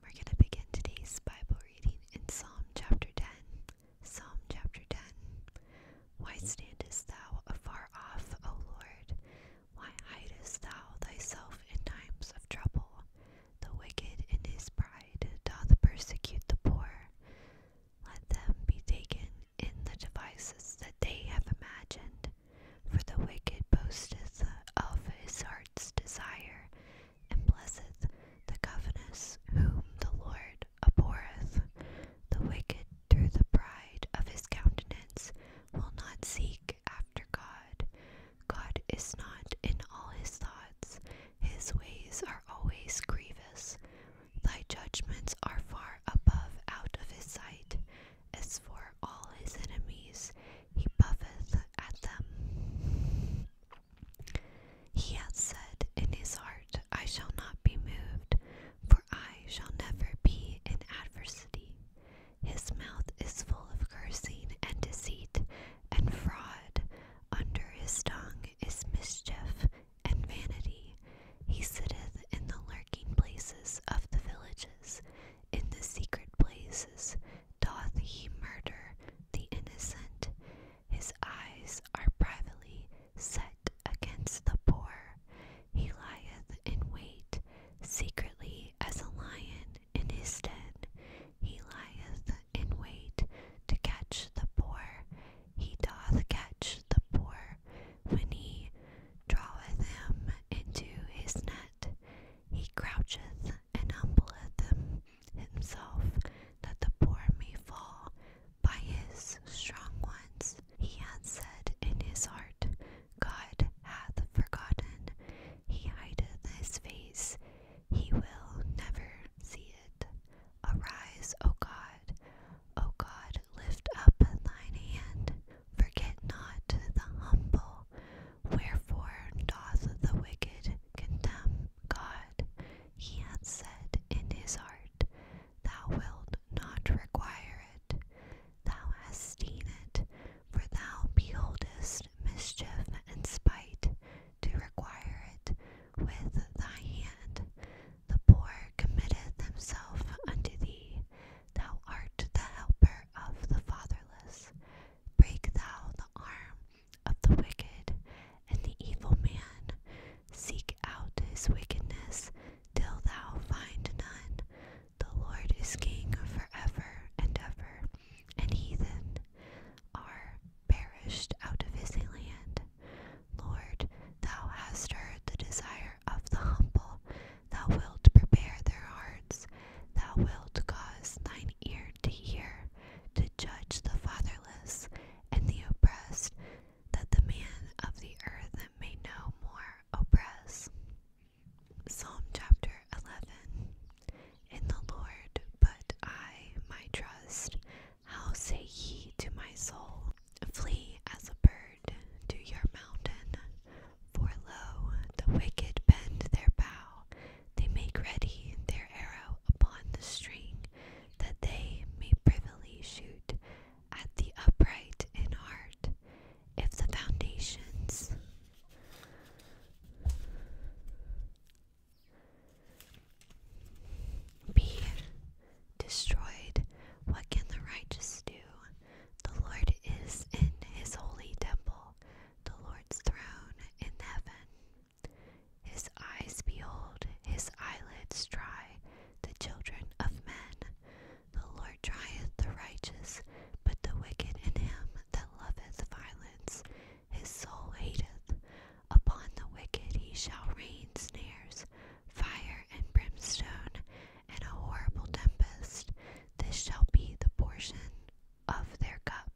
We're going to begin today's Bible reading in Psalm chapter 10. Psalm chapter 10. Why standest thou afar off, O Lord? Why hidest thou thyself in times of trouble? The wicked in his pride doth persecute the poor. Let them be taken in the devices that they have imagined. For the wicked boasteth of his heart's desire, and blesseth the governess, whom the Lord abhorreth. The wicked through the pride of his countenance will not seek after God. God is not in all his thoughts, his ways are always grievous. Thy judgments are far above out of his sight. As for all his enemies, he buffeth at them. He hath said in his heart, I shall not be moved, for I shall never be in adversity. His mouth is full of cursing and deceit and fraud. Under his tongue is mischief and vanity. He sitteth in the lurking places of the villages. In the secret places doth he murder the innocent. His eyes are privately set against the poor. He lieth in wait, secretly as a lion in his den. He lieth in wait to catch the poor. He doth catch the poor when he draweth him into his net he croucheth and humbleth himself, that the poor may fall by his strong ones. He hath said in his heart, God hath forgotten, he hideth his face, he will never see it. Arise, O God, O God lift up thine hand, forget not the humble. Wherefore doth the wicked condemn God? He hath said in his heart, Thou wilt not require it. Thou hast seen it, for thou beholdest mischief and spite to require it with thy hand. The poor committeth himself unto thee, Thou art the helper of the fatherless. Break thou the arm of the wicked and the evil man. Seek out his wickedness till thou find none. The Lord is King for ever and ever, and heathen are perished out of his land. Lord, thou hast heard the desire of the humble, thou wilt prepare their hearts, thou wilt cause thine ear to hear, to judge the fatherless and the oppressed, that the man of the earth may know more oppress. Psalm chapter 11 In the Lord put I my trust. How say ye to my soul, Flee as a bird to your mountain, for lo, the wicked bend their bow, they make ready their arrow upon the string, that they may privily shoot at the upright in heart. If the foundations be destroyed. What can the righteous do? The Lord is in his holy temple, the Lord's throne in heaven. His eyes behold, his eyelids try the children of men. The Lord trieth the righteous, but the wicked in him that loveth violence, his soul hateth. Upon the wicked he shall rain snares, fire and brimstone, and a horrible tempest. This shall be the portion of their cup.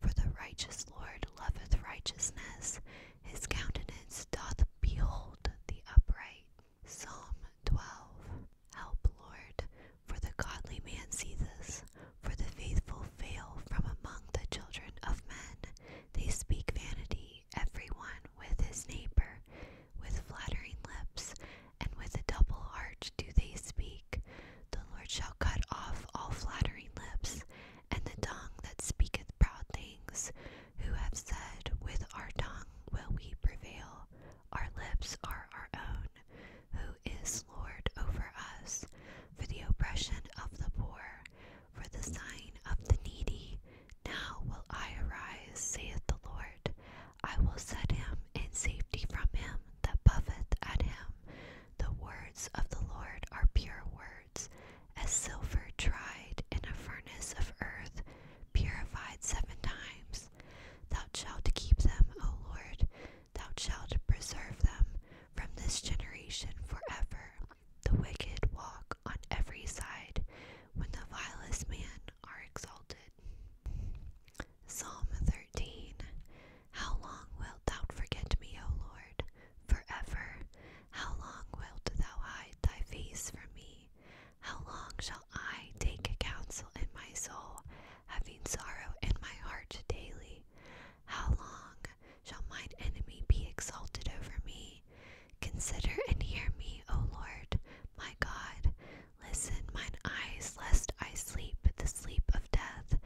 For the righteous Lord loveth righteousness, his countenance doth behold the upright. Psalm 12 Help, Lord, for the godly man ceases, for the faithful fail from among the children of men. They speak vanity. Every one with his neighbor with flattering lips, and with a double heart do they speak. The Lord shall cut off all flattering lips, and the tongue that speaketh proud things, who have said, With our tongue will we prevail, our lips are our own, who is Lord over us, for the oppression of the poor for the sign of the needy. Now will I arise, saith the Lord. I will set him in safety from him that buffeth at him. The words of the Lord are pure words, as silver tried in a furnace of earth, purified seven times. Thou shalt keep them, O Lord, thou shalt preserve them from this generation forever. The wicked walk on every side when the vilest men are exalted. Psalm 13 How long wilt thou forget me, O Lord, forever? How long wilt thou hide thy face from me? How long shall I take counsel in my soul, having sorrow in my heart daily? How long shall mine enemy be exalted over me? Consider and hear me, O Lord, my God. Listen, mine eyes, lest I sleep the sleep of death,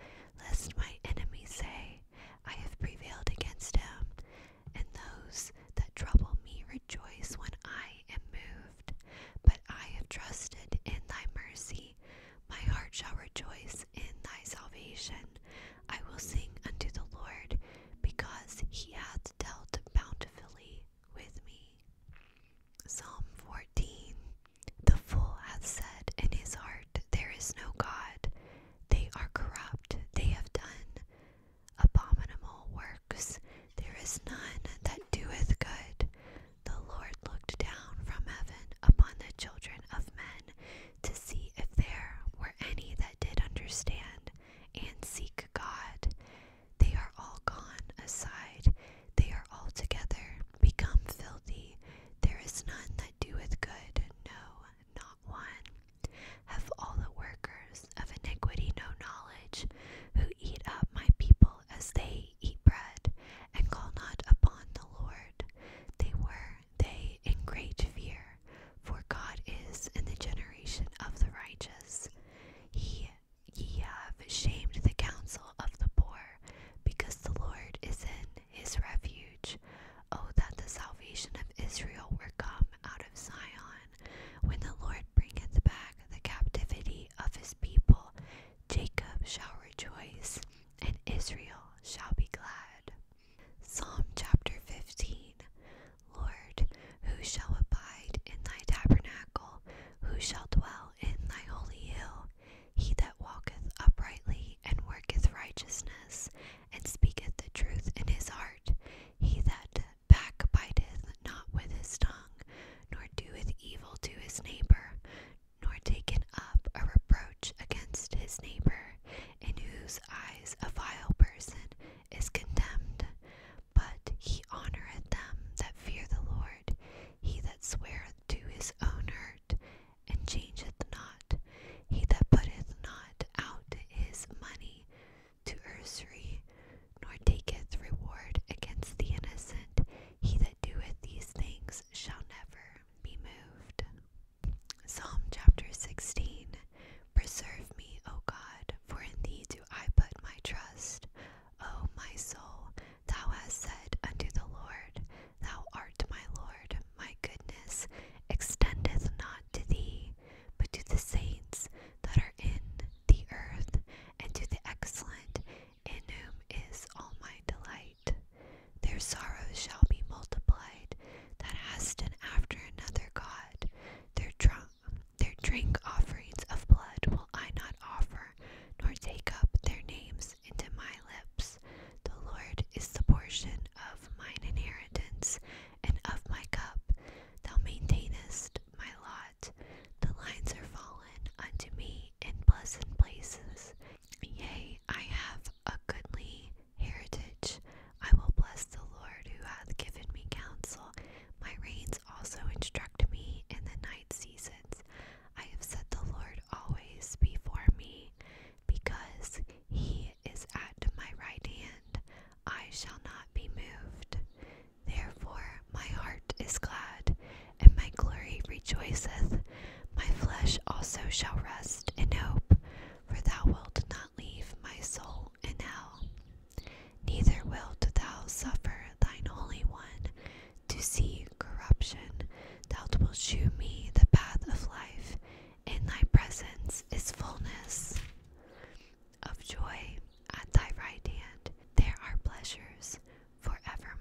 lest my enemies say, I have prevailed against him. And those that trouble me rejoice when I am moved. But I have trusted in thy mercy. My heart shall rejoice in thy salvation. I will sing unto the Lord, because he hath dealt bountifully with me. Psalm 14 The fool hath said in his heart, There is no God. They are corrupt, they have done abominable works. There is none that doeth good. The Lord looked down from heaven upon the children of men to see if there were any that did understand and seek God. They are all gone aside, they are altogether become filthy. There is none that doeth good, no, not one. Have all the workers of iniquity no knowledge, who eat up my people as they eat bread, and call not upon the Lord. They were they in great fear, for God is in the generation of the righteous. He ye have shamed the counsel of the poor, because the Lord is in his refuge. O that the salvation of Israel were come out of Zion, when the Lord bringeth back the captivity of his people, Jacob shall rejoice, and Israel shall be glad. Psalm chapter 15 Lord, who shall abide in thy tabernacle? Who shall dwell in thy holy hill? He that walketh uprightly and worketh righteousness, and speaketh the truth in his heart, he that backbiteth not with his tongue, nor doeth evil to his neighbor, nor taketh up a reproach against his neighbor, in whose eyes a vile person is condemned. But he honoureth them that fear the Lord. He that sweareth to his own hurt, and changeth not, he that putteth not out his money to usury, nor taketh reward against the innocent, he that doeth these things shall never be moved. Psalm chapter 16 Preserve me, O God, for in thee do I put my trust. O my soul, thou hast said unto the Lord, Thou art my Lord, my goodness extendeth not to thee, but to the saints that are in the earth, and to the excellent, in whom is all my delight. Their sorrows shall be multiplied that hasten after another God. Their, drink offerings of blood will I not offer, nor take up their names into my lips. The Lord is the portion of mine inheritance and of my cup. Thou maintainest my lot. The lines are fallen unto me in pleasant places. Yea, I have a goodly heritage. I will bless the Lord who hath given me counsel. My reins also instruct me in the night seasons. I have set the Lord always before me, because he is at my right hand. I shall not be moved. Therefore my heart is glad, and my glory rejoiceth. My flesh also shall rest in hope, for thou wilt not leave my soul in hell. Neither wilt thou suffer thine only One to see corruption. Thou wilt shew me the path of life. In thy presence is fullness of joy at thy right hand, there are pleasures forevermore.